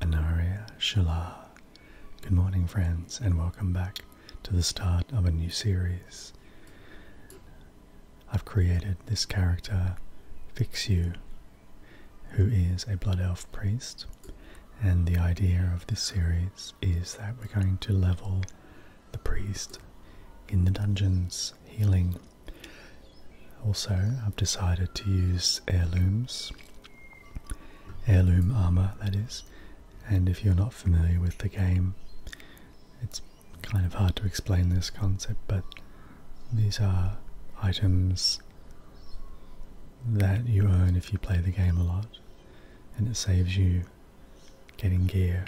Anaria Shala. Good morning, friends, and welcome back to the start of a new series. I've created this character, Fixu, who is a Blood Elf priest, and the idea of this series is that we're going to level the priest in the dungeons, healing. Also, I've decided to use heirlooms heirloom armor, that is. And if you're not familiar with the game, it's kind of hard to explain this concept, but these are items that you earn if you play the game a lot, and it saves you getting gear.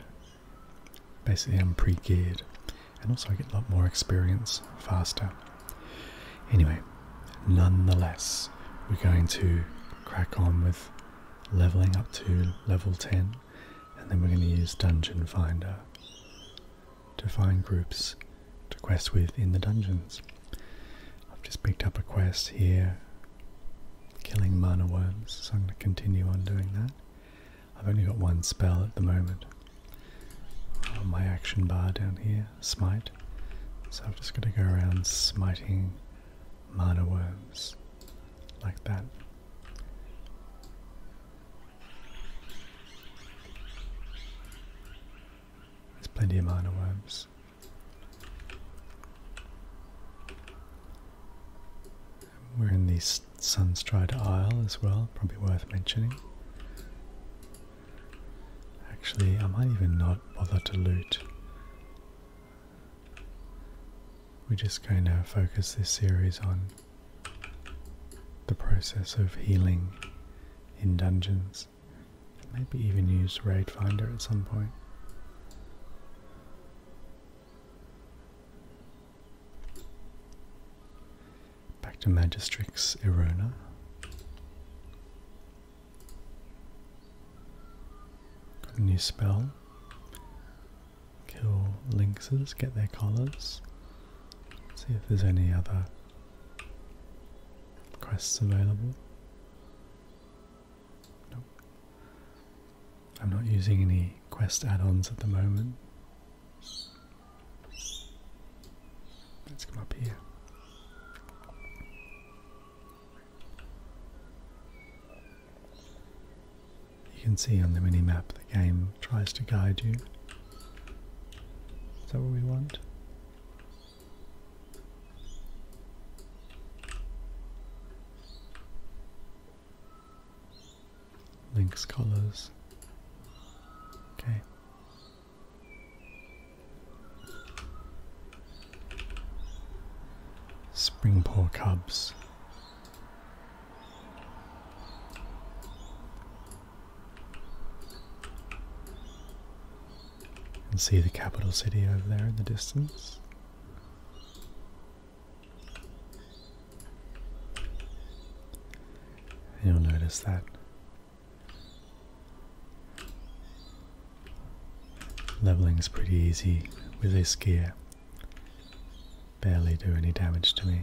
Basically, I'm pre geared, and also I get a lot more experience faster. Anyway, nonetheless, we're going to crack on with leveling up to level 10, and then we're going to use Dungeon Finder to find groups to quest with in the dungeons. I've just picked up a quest here, killing mana worms, so I'm going to continue on doing that. I've only got one spell at the moment. Oh, my action bar down here, smite. So I'm just going to go around smiting mana worms like that. There's plenty of mana worms. We're in the Sunstride Isle as well, probably worth mentioning. Actually, I might even not bother to loot. We're just going to focus this series on the process of healing in dungeons. Maybe even use Raid Finder at some point. Back to Magistrix Erona. Got a new spell. Kill lynxes, get their collars. See if there's any other quests available. I'm not using any quest add ons at the moment. Let's come up here. You can see on the mini map the game tries to guide you. Is that what we want? Link's colors. Okay. Springpore cubs. You see the capital city over there in the distance. You'll notice that Leveling's pretty easy with this gear. Barely do any damage to me.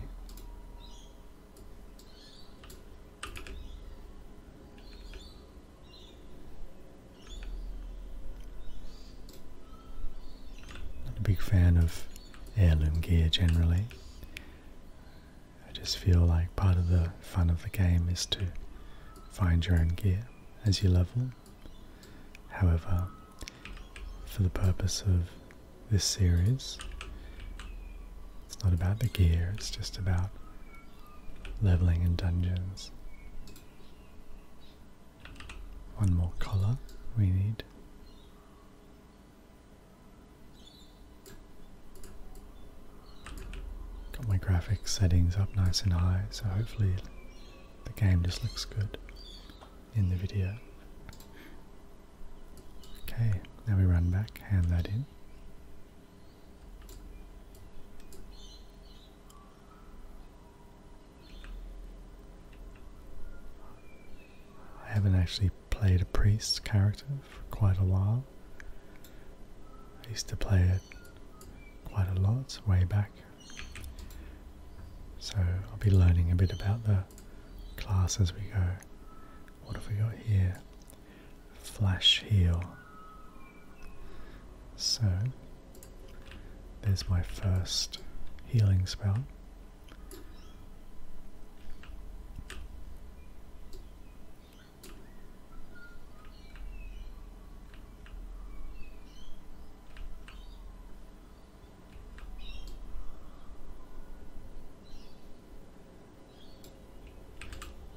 Not a big fan of heirloom gear generally. I just feel like part of the fun of the game is to find your own gear as you level. However, for the purpose of this series, it's not about the gear, it's just about leveling in dungeons. One more collar we need. Got my graphics settings up nice and high, so hopefully the game just looks good in the video. Okay, now we run back, hand that in. I haven't actually played a priest character, for quite a while. I used to play it quite a lot way back. So I'll be learning a bit about the class as we go. What have we got here? Flash heal. So there's my first healing spell.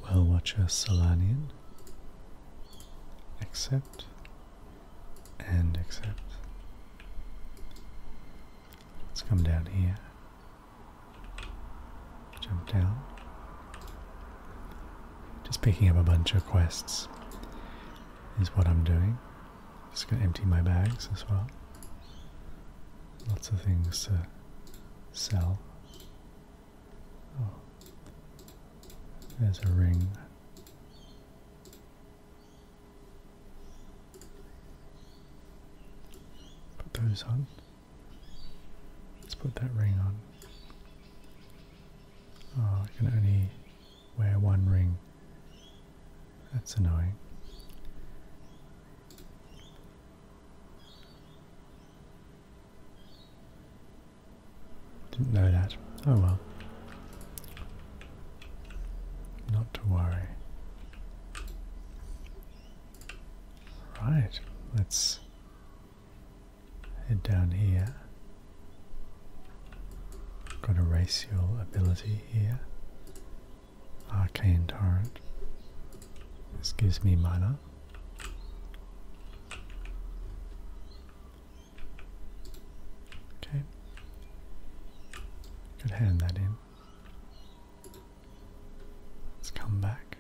Well, Watcher Solanian. Accept and accept. Let's come down here Jump down. Just picking up a bunch of quests is what I'm doing. Just gonna empty my bags as well. Lots of things to sell. Oh. There's a ring. Put those on. Let's put that ring on. Oh, I can only wear one ring. That's annoying. Didn't know that. Oh well. Not to worry. Right, let's Head down here, got a racial ability here. Arcane Torrent. This gives me mana. Okay. Could hand that in. Let's come back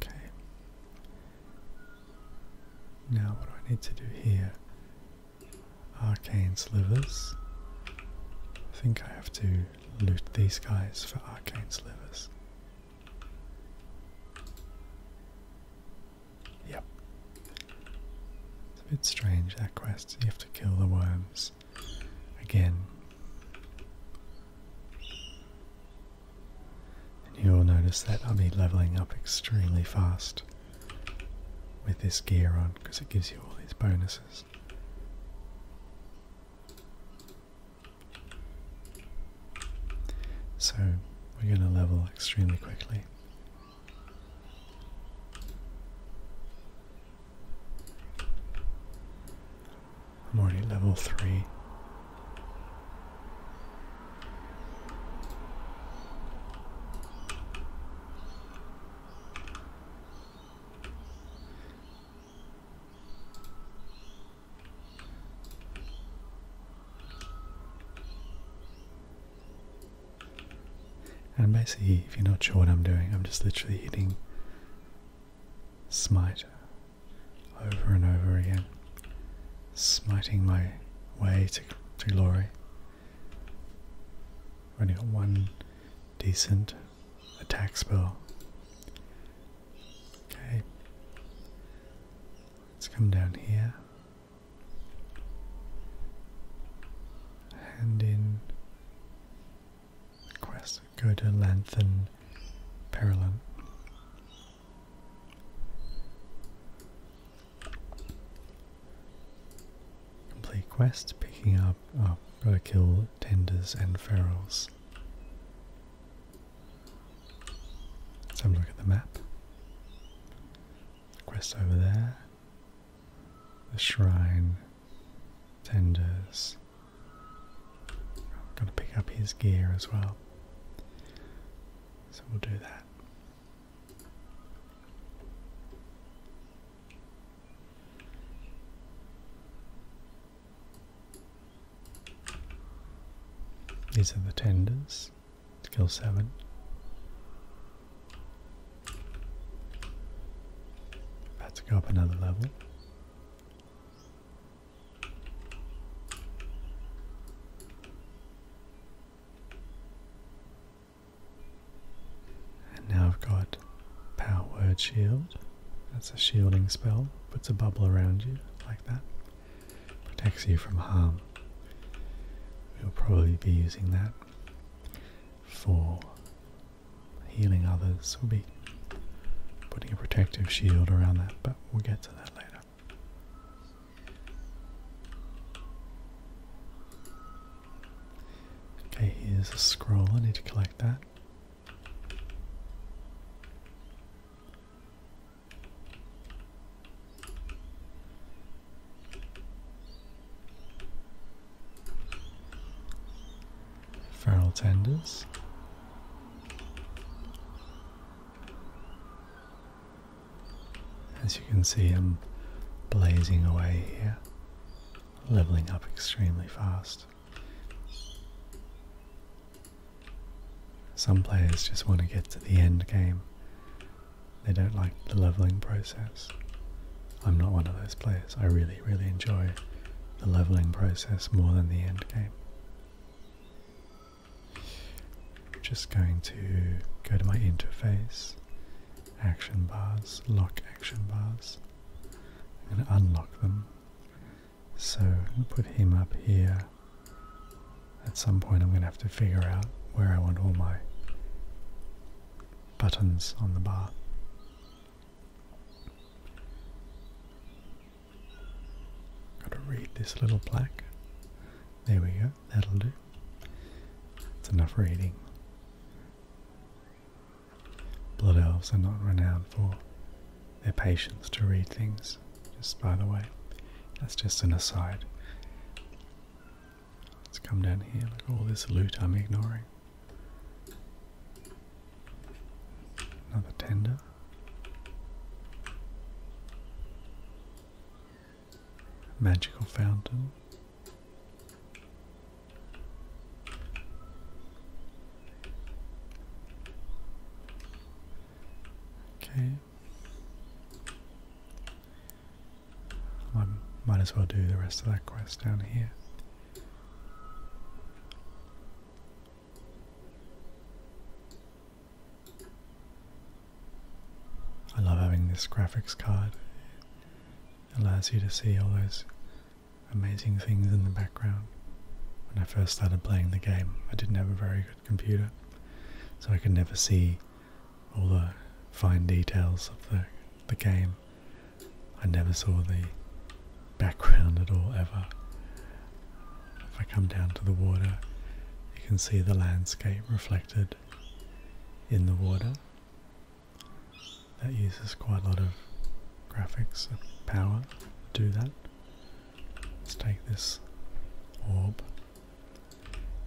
Okay. Now, what do I need to do here? Arcane slivers. I think I have to loot these guys for arcane slivers. Yep. It's a bit strange that quest. You have to kill the worms again. And you'll notice that I'll be leveling up extremely fast with this gear on because it gives you all these bonuses. So we're going to level extremely quickly. I'm already at level 3. And basically, if you're not sure what I'm doing, I'm just literally hitting smite over and over again, smiting my way to, to glory. I've only got one decent attack spell. Okay. Let's come down here. Hand in quest. Go to Lanthan Perilon. Complete quest, picking up, oh, kill tenders and ferals. Let's have a look at the map. The quest over there. The shrine. Tenders. I've got to pick up his gear as well. So we'll do that. These are the tenders. Skill 7. About to go up another level. And now I've got Power Word Shield. That's a shielding spell. Puts a bubble around you like that protects you from harm. We'll probably be using that for healing others. We'll be putting a protective shield around that, but we'll get to that later. Okay, here's a scroll. I need to collect that. Feral tenders. As you can see, I'm blazing away here, leveling up extremely fast. Some players just want to get to the end game. They don't like the leveling process. I'm not one of those players. I really, really enjoy the leveling process more than the end game. just going to go to my interface, action bars, lock action bars. i unlock them so put him up here. At some point I'm going to have to figure out where I want all my buttons on the bar. Got to read this little plaque. There we go, that'll do. It's enough reading. Blood elves are not renowned for their patience to read things, just by the way. That's just an aside. Let's come down here, look at all this loot I'm ignoring. Another tender. Magical fountain. Okay. I might as well do the rest of that quest down here. I love having this graphics card. allows you to see all those amazing things in the background. When I first started playing the game, I didn't have a very computer, so I could never see all the fine details of the the game. I never saw the background at all ever. If I come down to the water, you can see the landscape reflected in the water. That uses quite a lot of graphics and power to do that. Let's take this orb.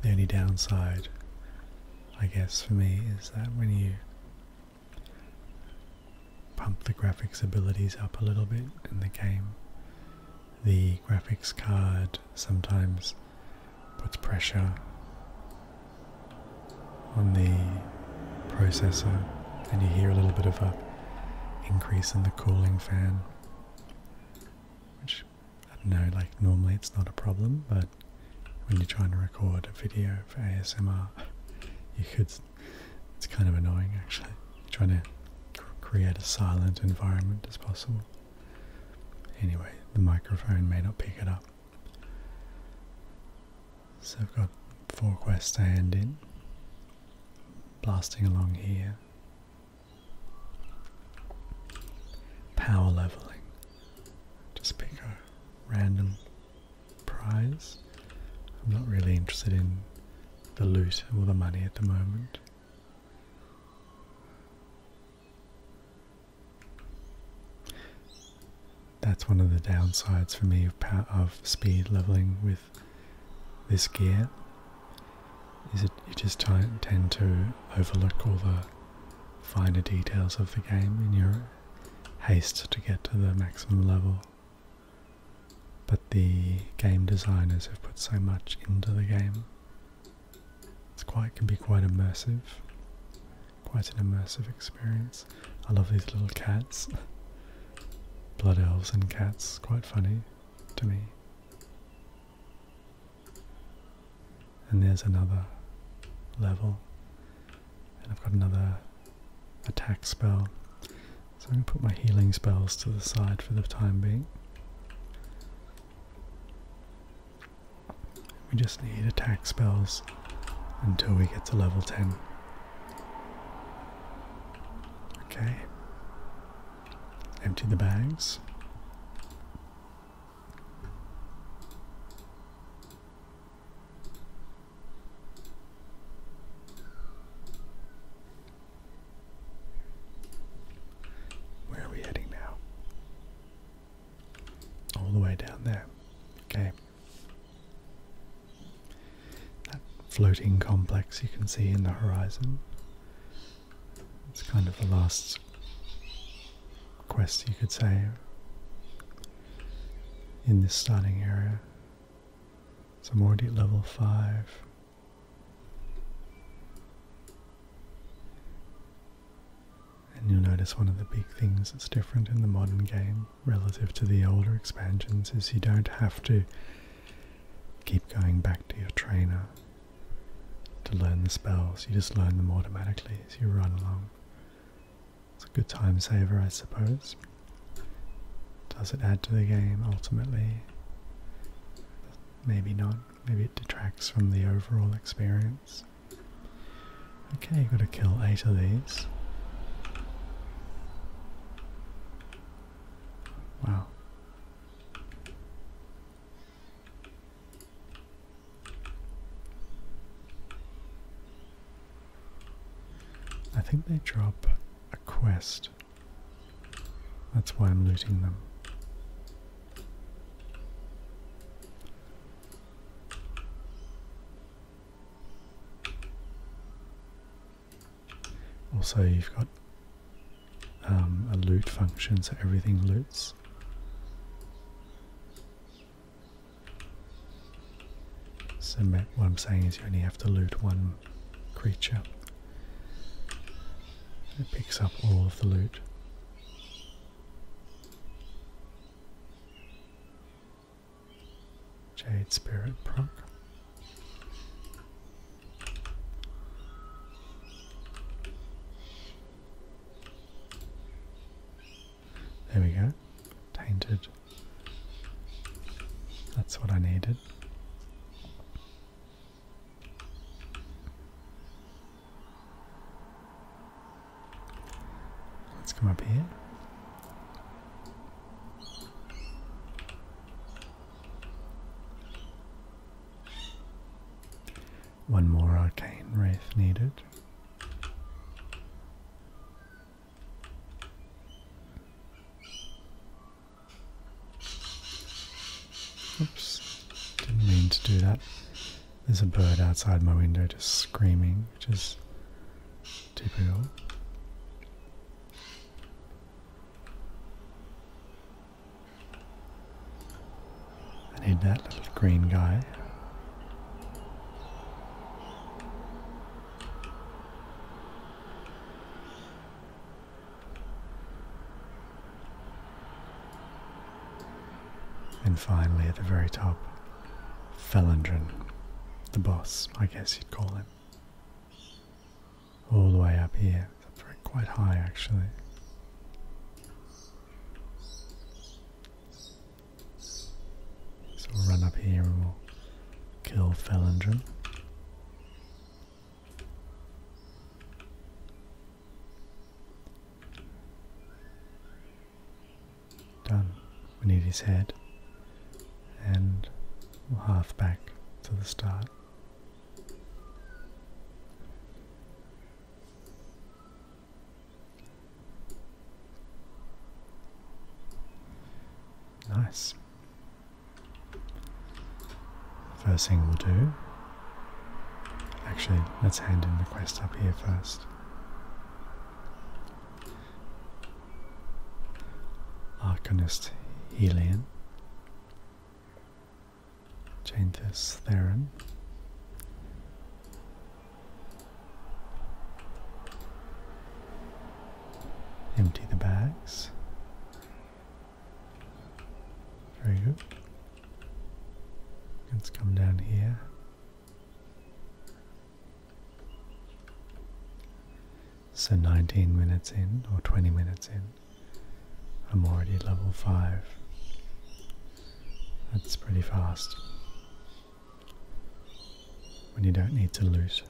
The only downside, I guess, for me is that when you pump the graphics abilities up a little bit in the game, the graphics card sometimes puts pressure on the processor, and you hear a little bit of a increase in the cooling fan which I don't know, like normally it's not a problem, but when you're trying to record a video for ASMR, you could, it's kind of annoying actually, trying to create a silent environment as possible. Anyway, the microphone may not pick it up. So I've got four quest hand in, blasting along here, Power leveling. Just pick a random prize. I'm not really interested in the loot or the money at the moment. That's one of the downsides for me of, speed leveling with this gear is it you just tend to overlook all the finer details of the game in your haste to get to the maximum level. But the game designers have put so much into the game. It's quite can be quite immersive. Quite an immersive experience. I love these little cats. Blood elves and cats, quite funny to me. And there's another level. And I've got another attack spell. So I'm going to put my healing spells to the side for the time being. We just need attack spells until we get to level 10. Okay. Empty the bags. Where are we heading now? All the way down there. Okay that floating complex you can see in the horizon. It's kind of the last quest, you could say, in this starting area. So I'm already level 5. And you'll notice one of the big things that's different in the modern game relative to the older expansions is you don't have to keep going back to your trainer to learn the spells. You just learn them automatically as you run along. It's a good time saver, I suppose. Does it add to the game ultimately? Maybe not. Maybe it detracts from the overall experience. Okay, you've got to kill eight of these. Wow. I think they drop a quest. That's why I'm looting them. Also, you've got um, a loot function, so everything loots. So what I'm saying is you only have to loot one creature. It picks up all of the loot. Jade Spirit proc. There we go. Tainted. That's what I needed. Let's come up here. One more arcane wraith needed. Oops, didn't mean to do that. There's a bird outside my window just screaming, which is typical. I need that little green guy. And finally, at the very top, Felindrin, the boss, I guess you'd call him all the way up here, quite high actually. So we'll run up here and we'll kill Felindrin. Done. We need his head. And we'll half back to the start. Nice. First thing we'll do. Actually, let's hand in the quest up here first. Arcanist Helian. Change this therein. Empty the bags. Very good. Let's come down here. So 19 minutes in, or 20 minutes in, I'm already level 5. That's pretty fast. When you don't need to lose.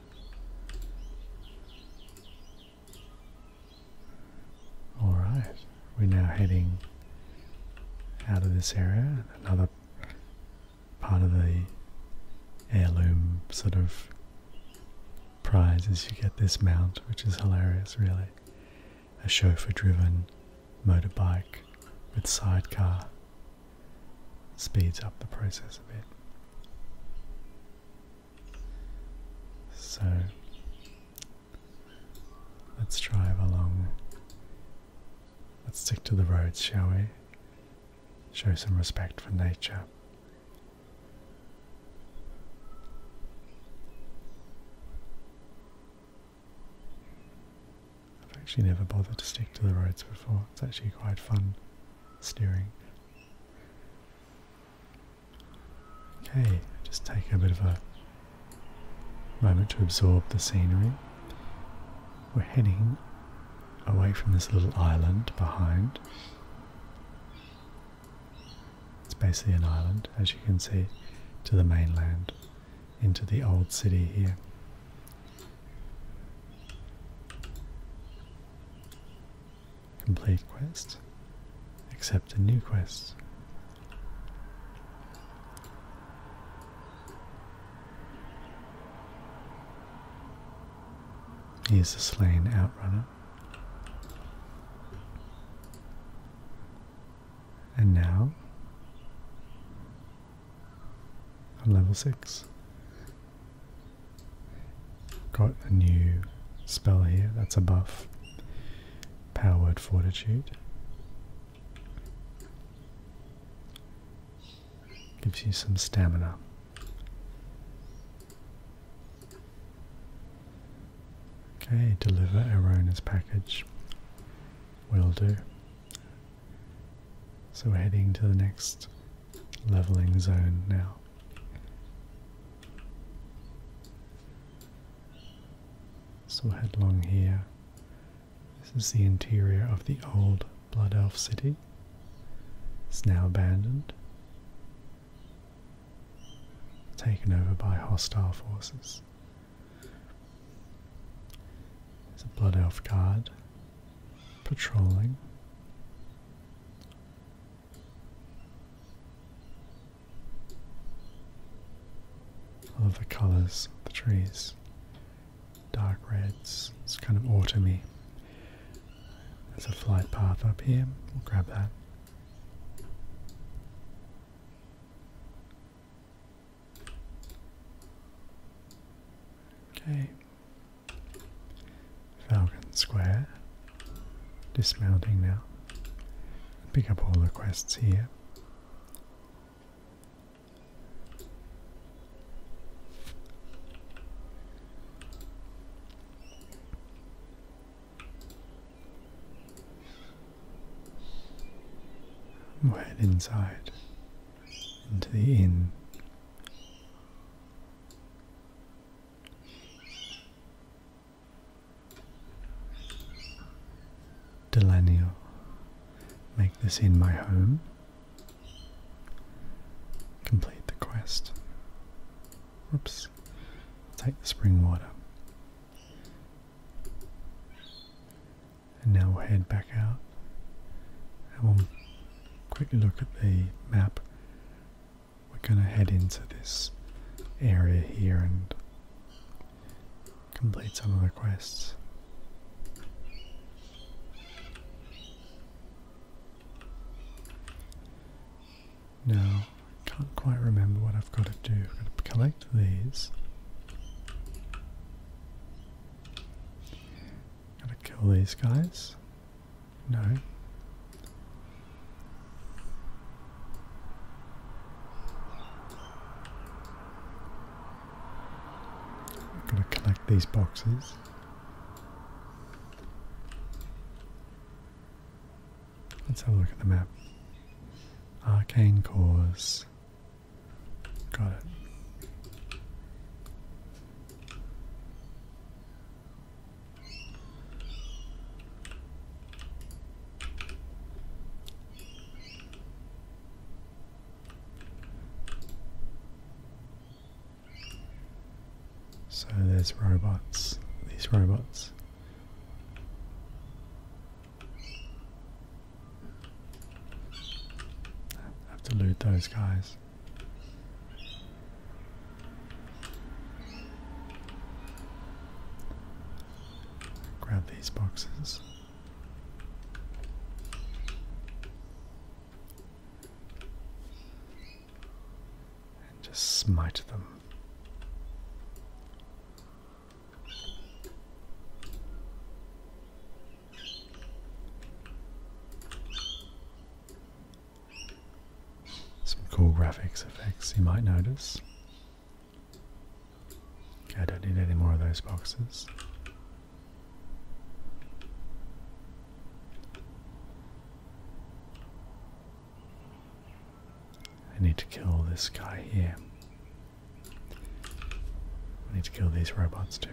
Alright, we're now heading out of this area, another part of the heirloom sort of prize is you get this mount, which is hilarious, really. A chauffeur driven motorbike with sidecar speeds up the process a bit. So let's drive along. Let's stick to the roads, shall we? Show some respect for nature. I've actually never bothered to stick to the roads before. It's actually quite fun steering. Okay, just take a bit of a moment to absorb the scenery. We're heading away from this little island behind. It's basically an island, as you can see, to the mainland, into the old city here. Complete quest. Accept a new quest. Here's a slain outrunner. And now, at level 6, got a new spell here that's a buff. Power Powered Fortitude. Gives you some stamina. Okay, deliver Arona's package. Will do. So we're heading to the next leveling zone now. So headlong here. This is the interior of the old Blood Elf city. It's now abandoned taken over by hostile forces. There's a Blood Elf guard patrolling. I love the colours of the trees. Dark reds, it's kind of autumny. There's a flight path up here. We'll grab that. Okay. Falcon Square. Dismounting now. Pick up all the quests here we head inside into the inn. Delanio, make this inn my home. Complete the quest. Oops. Take the spring water. And now we'll head back out. And we'll quickly look at the map. We're going to head into this area here and complete some of the quests. No, I can't quite remember what I've got to do. I've got to collect these. Gotta kill these guys. No. I'm gonna collect these boxes. Let's have a look at the map. Arcane cores. Got it. So there's robots, these robots. have to loot those guys. Grab these boxes and just smite them. Some cool graphics effects you might notice. Okay, I don't need any more of those boxes. I need to kill this guy here. I need to kill these robots too.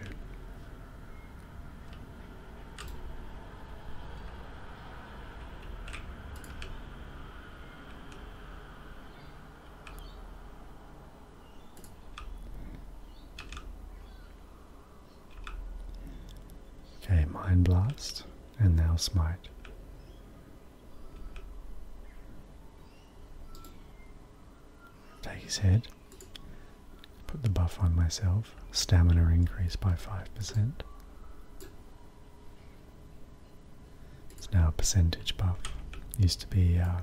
Okay, Mind Blast and now smite. Take his head, put the buff on myself, stamina increase by 5%. It's now a percentage buff. used to be uh,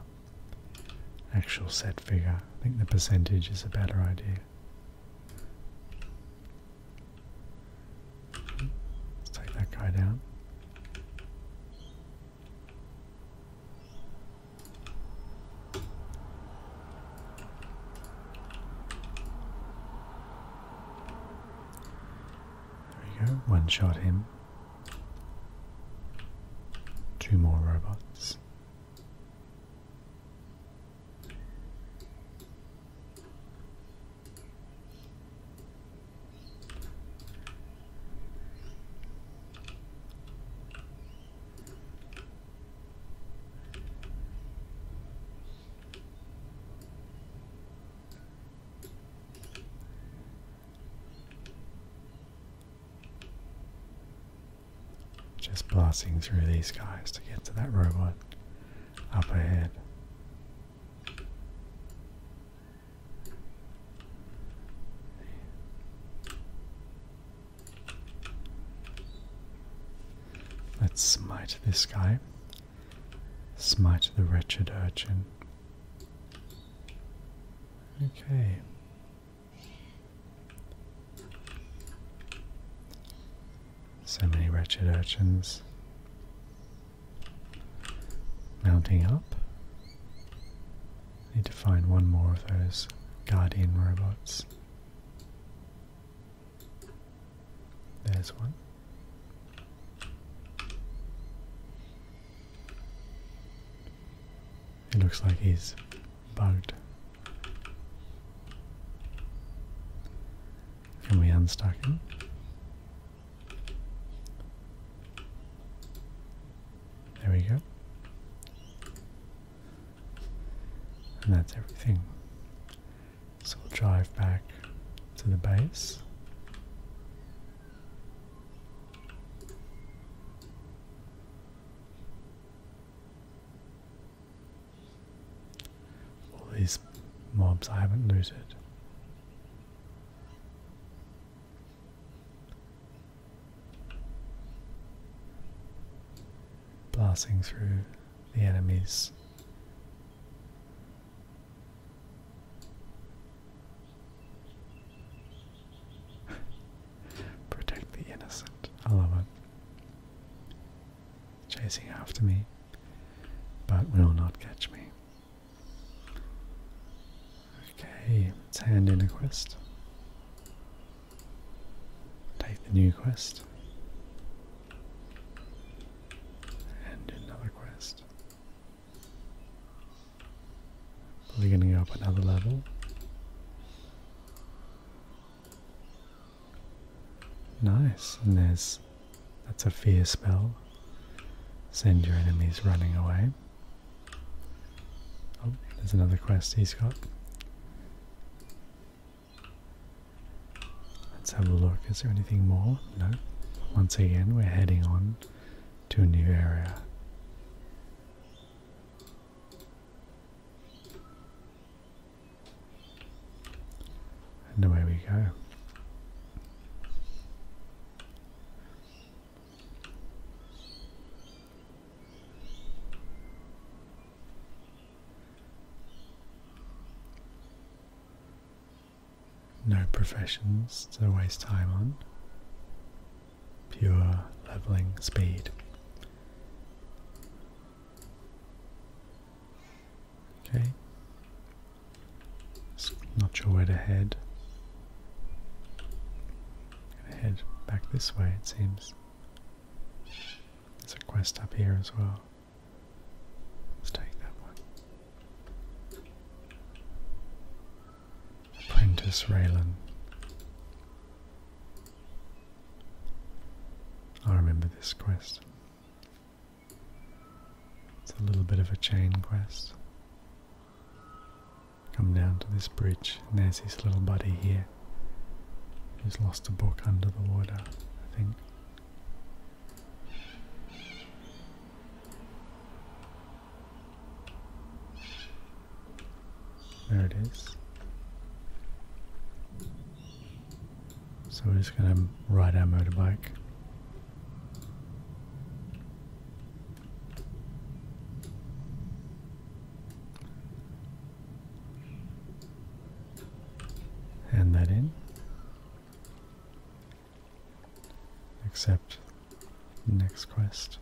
actual set figure. I think the percentage is a better idea. Let's take that guy down. There we go, one shot him. Two more robots. Just blasting through these guys to get to that robot up ahead. Let's smite this guy. Smite the wretched urchin. Okay. So many wretched urchins mounting up. Need to find one more of those guardian robots. There's one. It looks like he's bugged. Can we unstock it? There we go. And that's everything. So we'll drive back to the base. All these mobs I haven't looted. Blasting through the enemies. Protect the innocent. I love it chasing after me, but will not catch me. Okay, let's hand in a quest. Take the new quest. And another quest. Probably gonna go up another level. Nice, and there's that's a fear spell. Send your enemies running away. Oh, there's another quest he's got. Let's have a look. Is there anything more? No. Once again, we're heading on to a new area. And away we go. No professions to waste time on. Pure leveling speed. Okay. not sure where to head. head back this way, it seems. There's a quest up here as well. Let's take that one. Apprentice Raylan. I remember this quest. It's a little bit of a chain quest. Come down to this bridge, and there's this little buddy here who's lost a book under the water, I think. There it is. So we're just going to ride our motorbike. Hand that in. Accept next quest.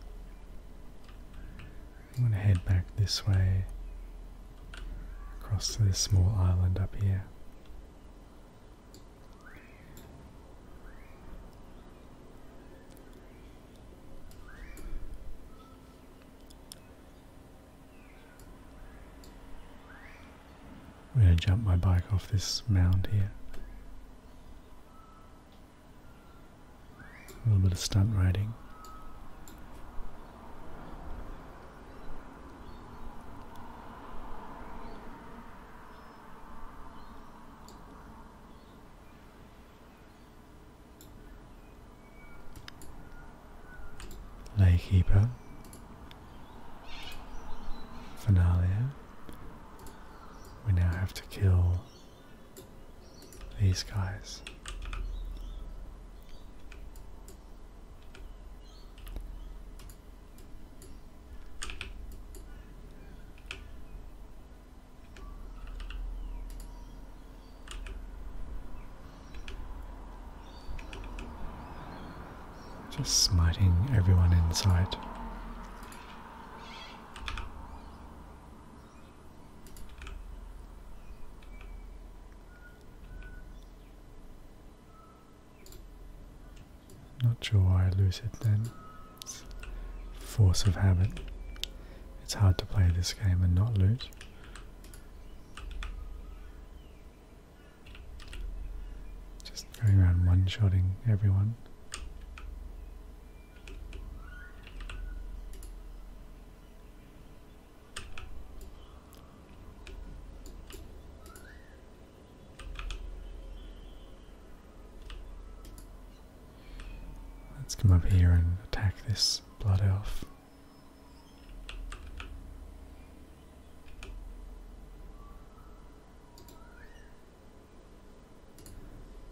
I'm going to head back this way across to this small island up here. I'm going to jump my bike off this mound here. A little bit of stunt riding. Laykeeper, Finalia. We now have to kill these guys. Just smiting everyone in sight. Not sure why I lose it then. It's force of habit. It's hard to play this game and not loot. Just going around one shooting everyone. Let's come up here and attack this blood elf.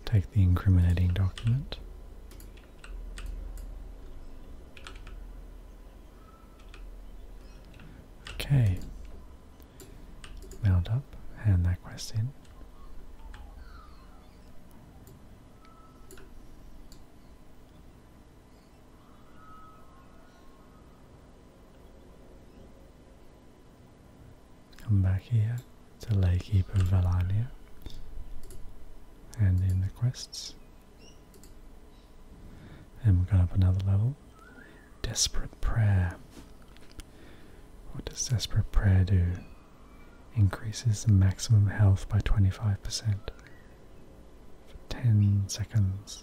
Take the incriminating document. Okay. Mount up, hand that quest in. Come back here to Lake Eep of Valania. Hand in the quests. And we've gone up another level. Desperate prayer. What does desperate prayer do? Increases the maximum health by 25% for 10 seconds.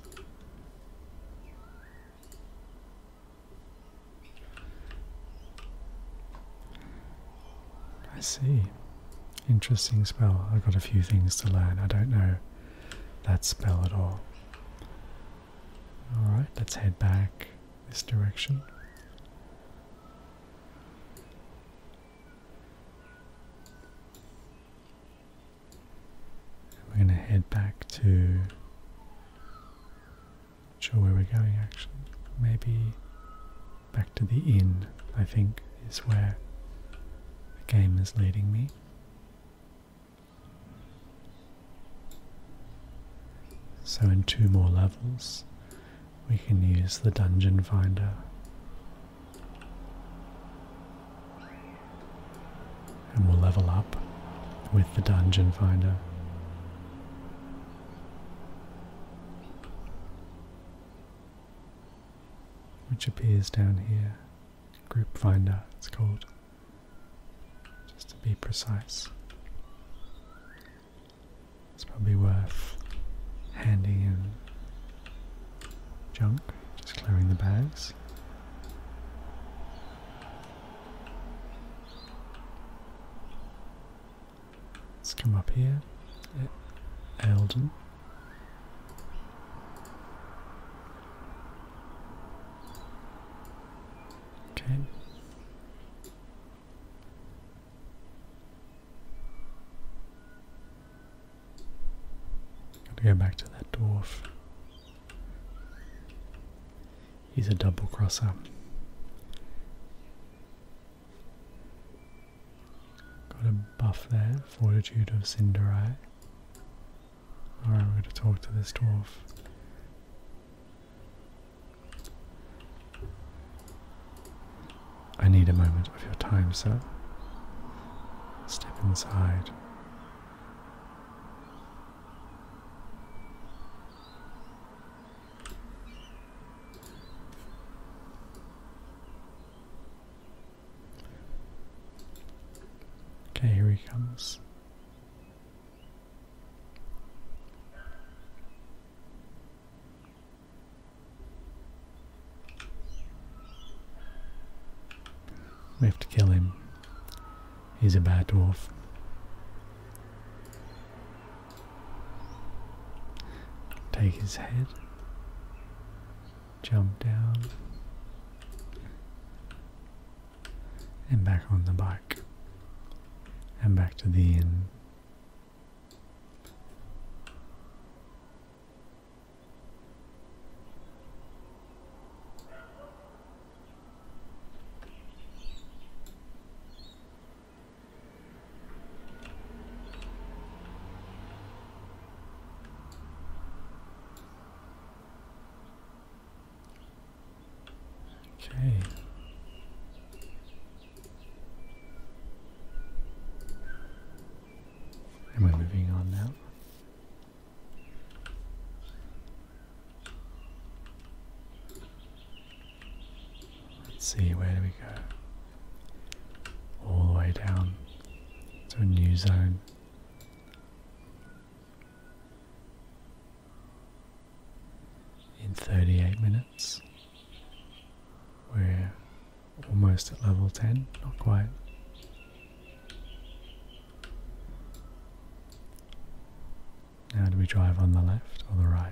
I see. Interesting spell. I've got a few things to learn. I don't know that spell at all. Alright, let's head back this direction. We're going to head back to. not sure where we're going actually. Maybe back to the inn, I think, is where the game is leading me. So in two more levels, we can use the dungeon finder. And we'll level up with the dungeon finder. Which appears down here. Group Finder, it's called, just to be precise. It's probably worth handing in junk, just clearing the bags. Let's come up here, Eldon. Okay. Gotta go back to that dwarf. He's a double crosser. Got a buff there, Fortitude of Cinderai. Alright, we're going to talk to this dwarf. I need a moment of your time, sir. Step inside. Okay, here he comes. We have to kill him. He's a bad dwarf. Take his head jump down and back on the bike and back to the end. Okay. Am I moving on now? Let's see, where do we go? All the way down to a new zone. In 38 minutes, we're almost at level 10, not quite. Now, do we drive on the left or the right?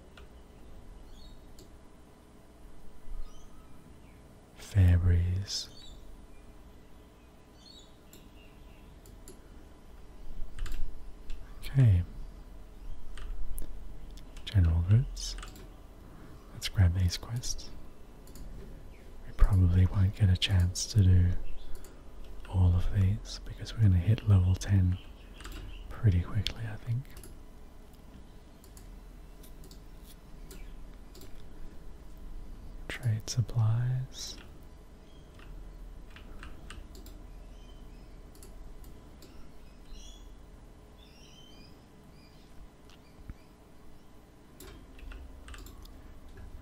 fair Okay, general routes. Let's grab these quests. We probably won't get a chance to do all of these because we're going to hit level 10 pretty quickly, I think. Trade supplies.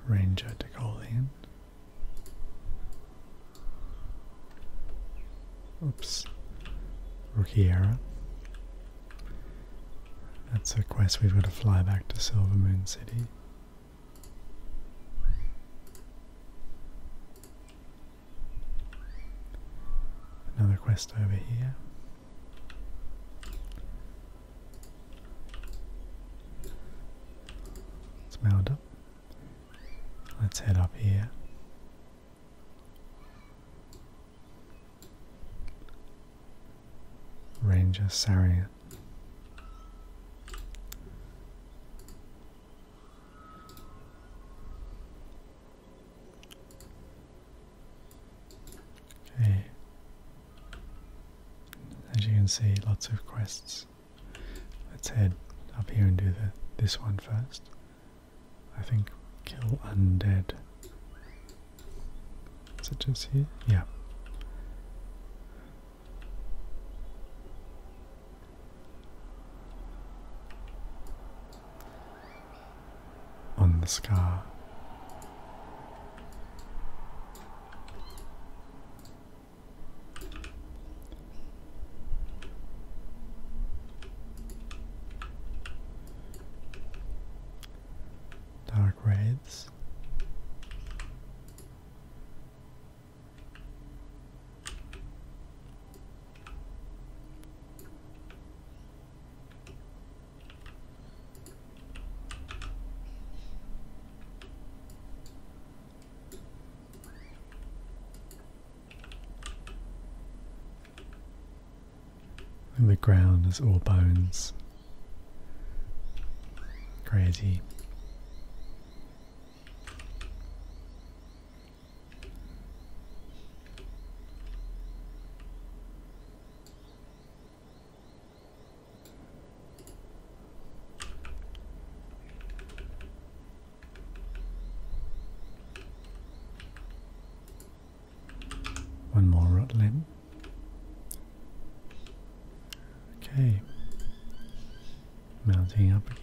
Ranger Decolian. Oops. rookie error. That's a quest we've got to fly back to Silver Moon City. Another quest over here. It's mailed up. Let's head up here. Ranger Sarian. Okay. As you can see, lots of quests. Let's head up here and do this one first. I think kill undead. Is it just here? Yeah. On the scar. Dark reds. And the ground is all bones. Crazy. One more rod limb. Okay. Mounting up again.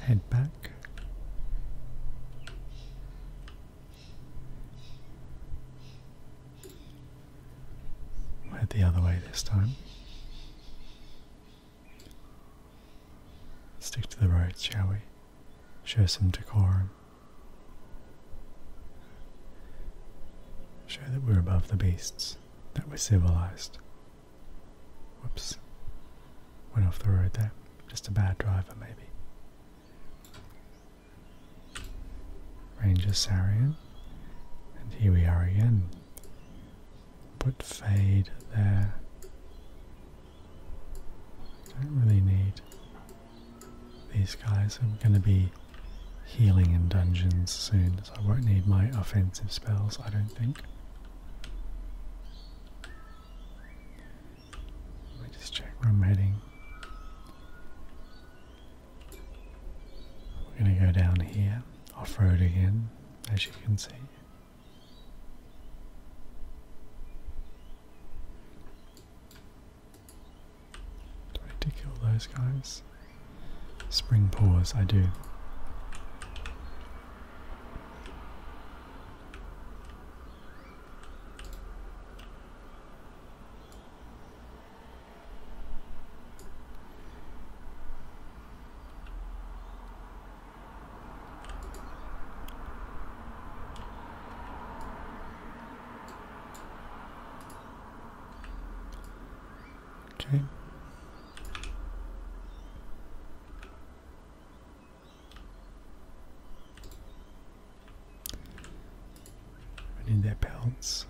Head back. head the other way this time. Stick to the road, shall we? Show some decorum. Show that we're above the beasts, that we're civilized. Whoops. Went off the road there. Just a bad driver, maybe. Ranger Sarian. And here we are again. Put Fade there. I don't really need these guys. I'm going to be healing in dungeons soon, so I won't need my offensive spells, I don't think. Let me just check where I'm heading. We're going to go down here, off road again, as you can see need to kill those guys? Spring paws, I do. Okay. I need that balance.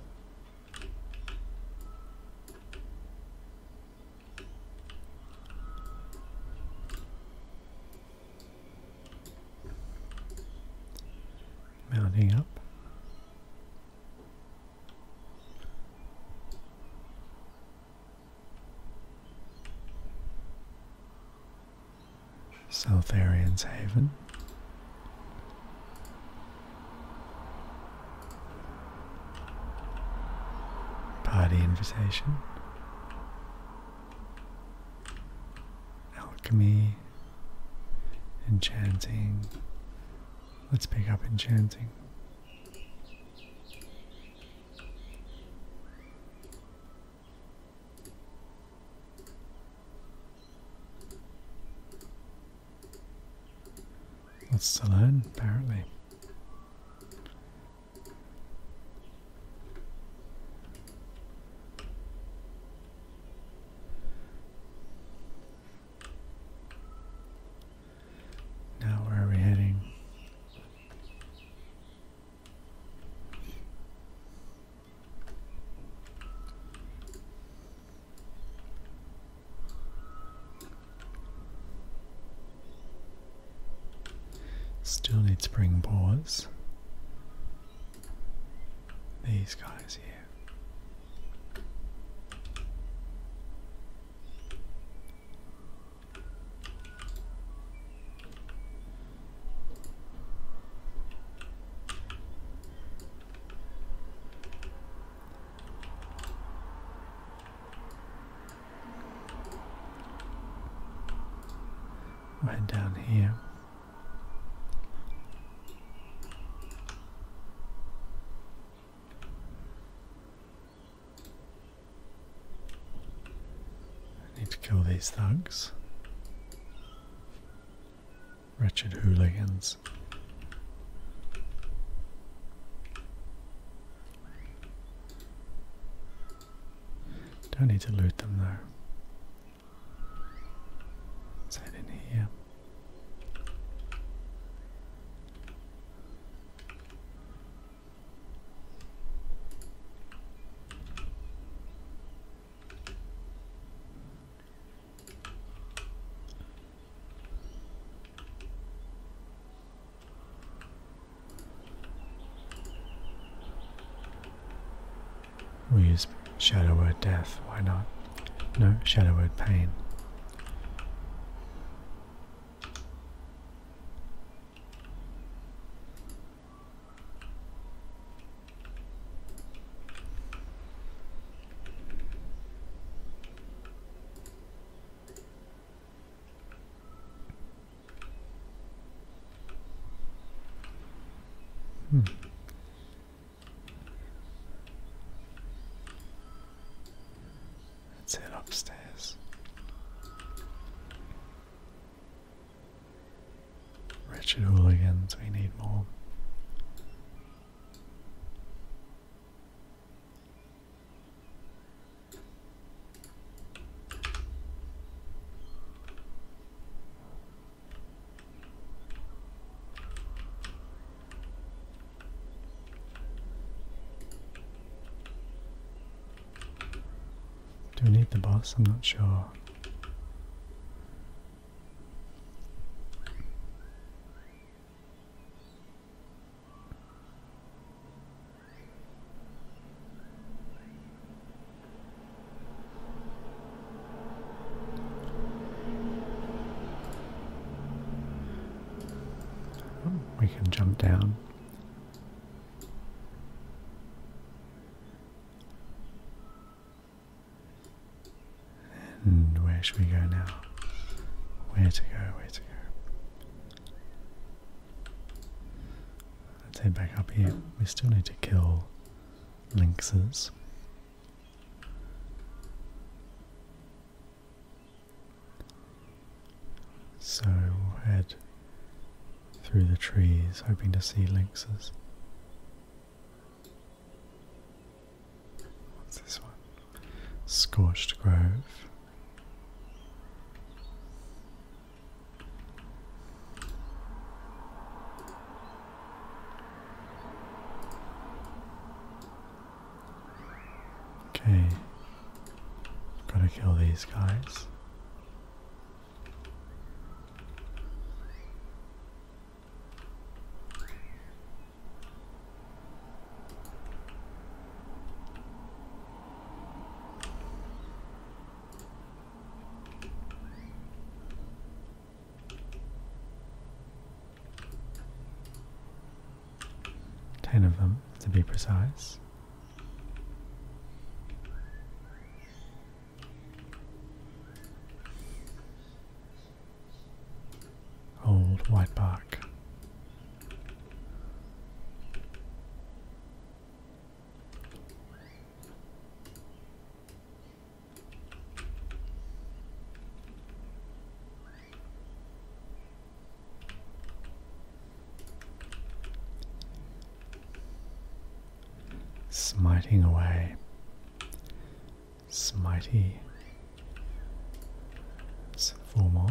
Mounting up. South Arians Haven. Party invitation. Alchemy. Enchanting. Let's pick up enchanting. Lots to learn, apparently. Now, where are we heading? Still need spring boards. These guys here. Right down here. I need to kill these thugs. Wretched hooligans. Don't need to loot them though. let in here we use shadow word death, why not? No, shadow word pain. Hmm. Let's head upstairs. Wretched hooligans, we need more. Do we need the boss? I'm not sure. Oh, we can jump down. And where should we go now? Where to go? Where to go? Let's head back up here. We still need to kill lynxes. So we'll head through the trees, hoping to see lynxes. What's this one? Scorched Grove. Okay, gotta kill these guys. Ten of them, to be precise. Old white bark. Smiting away. Smitey. Formal.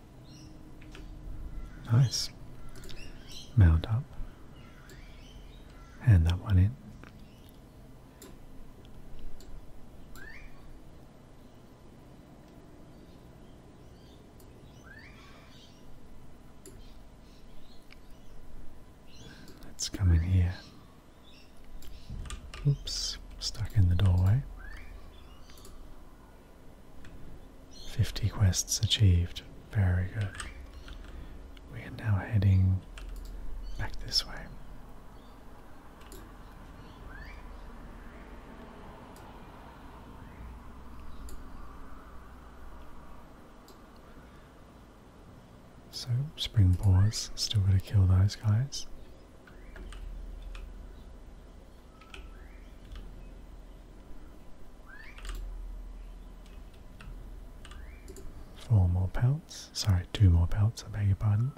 Nice. Mount up. Hand that one in. Let's come in here. Oops, stuck in the doorway. 50 quests achieved. Very good. We are now heading back this way. So, spring still gotta kill those guys. Four more pelts. Sorry, two more pelts, I beg your pardon.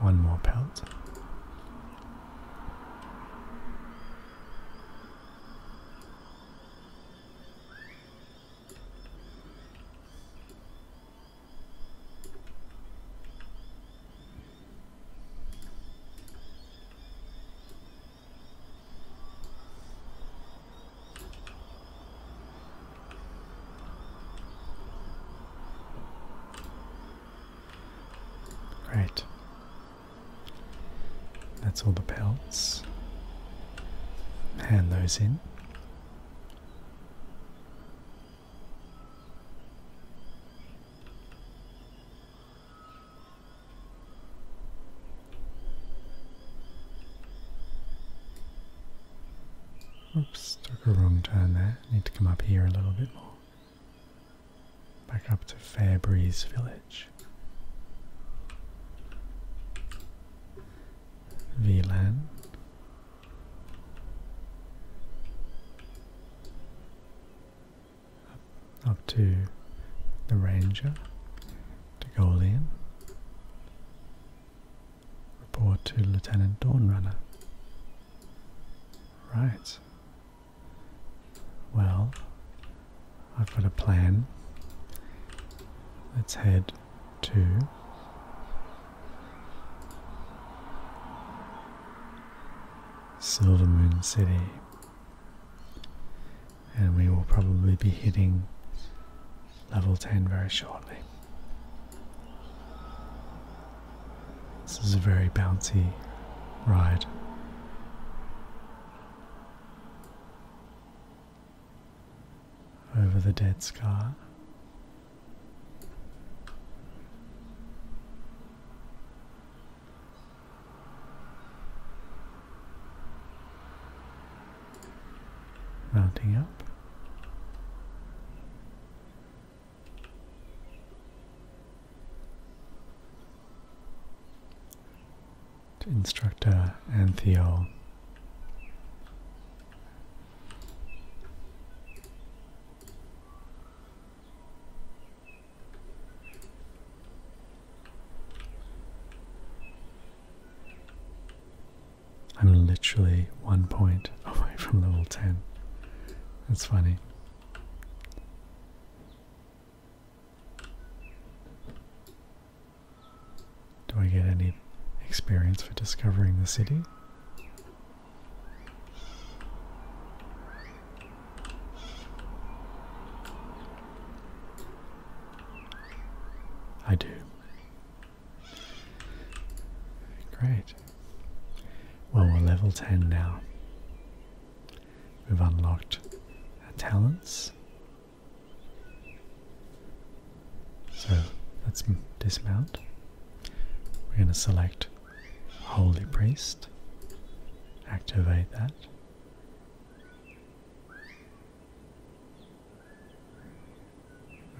One more pelt. Great. That's all the pelts. Hand those in. Oops, took a wrong turn there. Need to come up here a little bit more. Back up to Fairbreeze Village. VLAN. Up, to the Ranger, to Golian. Report to Lieutenant Dawnrunner. Right. Well, I've got a plan. Let's head to Silvermoon City. And we will probably be hitting level 10 very shortly. This is a very bouncy ride. Over the dead scar mounting up. To instructor uh, Antheol. I'm literally one point away from level 10. That's funny. Do I get any experience for discovering the city? I do. Great. Well, we're level 10 now. We've unlocked talents. So let's dismount. We're going to select Holy Priest, activate that.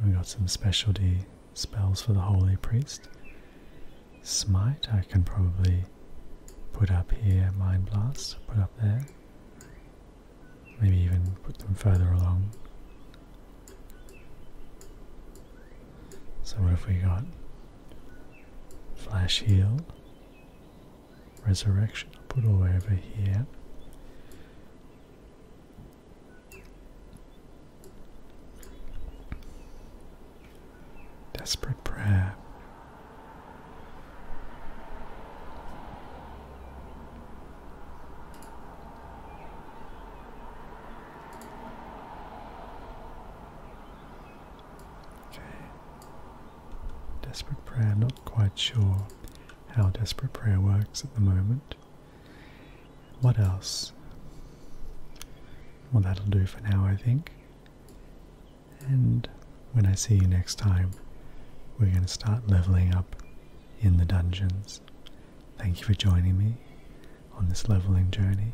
We got some specialty spells for the Holy Priest. Smite, I can probably put up here, Mind Blast, put up there. Maybe even put them further along. So, what have we got? Flash Heal, Resurrection, put all over here. Desperate prayer. Okay. Desperate prayer. I'm not quite sure how desperate prayer works at the moment. What else? Well, that'll do for now, I think. And when I see you next time, we're going to start leveling up in the dungeons. Thank you for joining me on this leveling journey.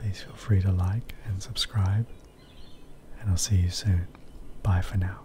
Please feel free to like and subscribe, and I'll see you soon. Bye for now.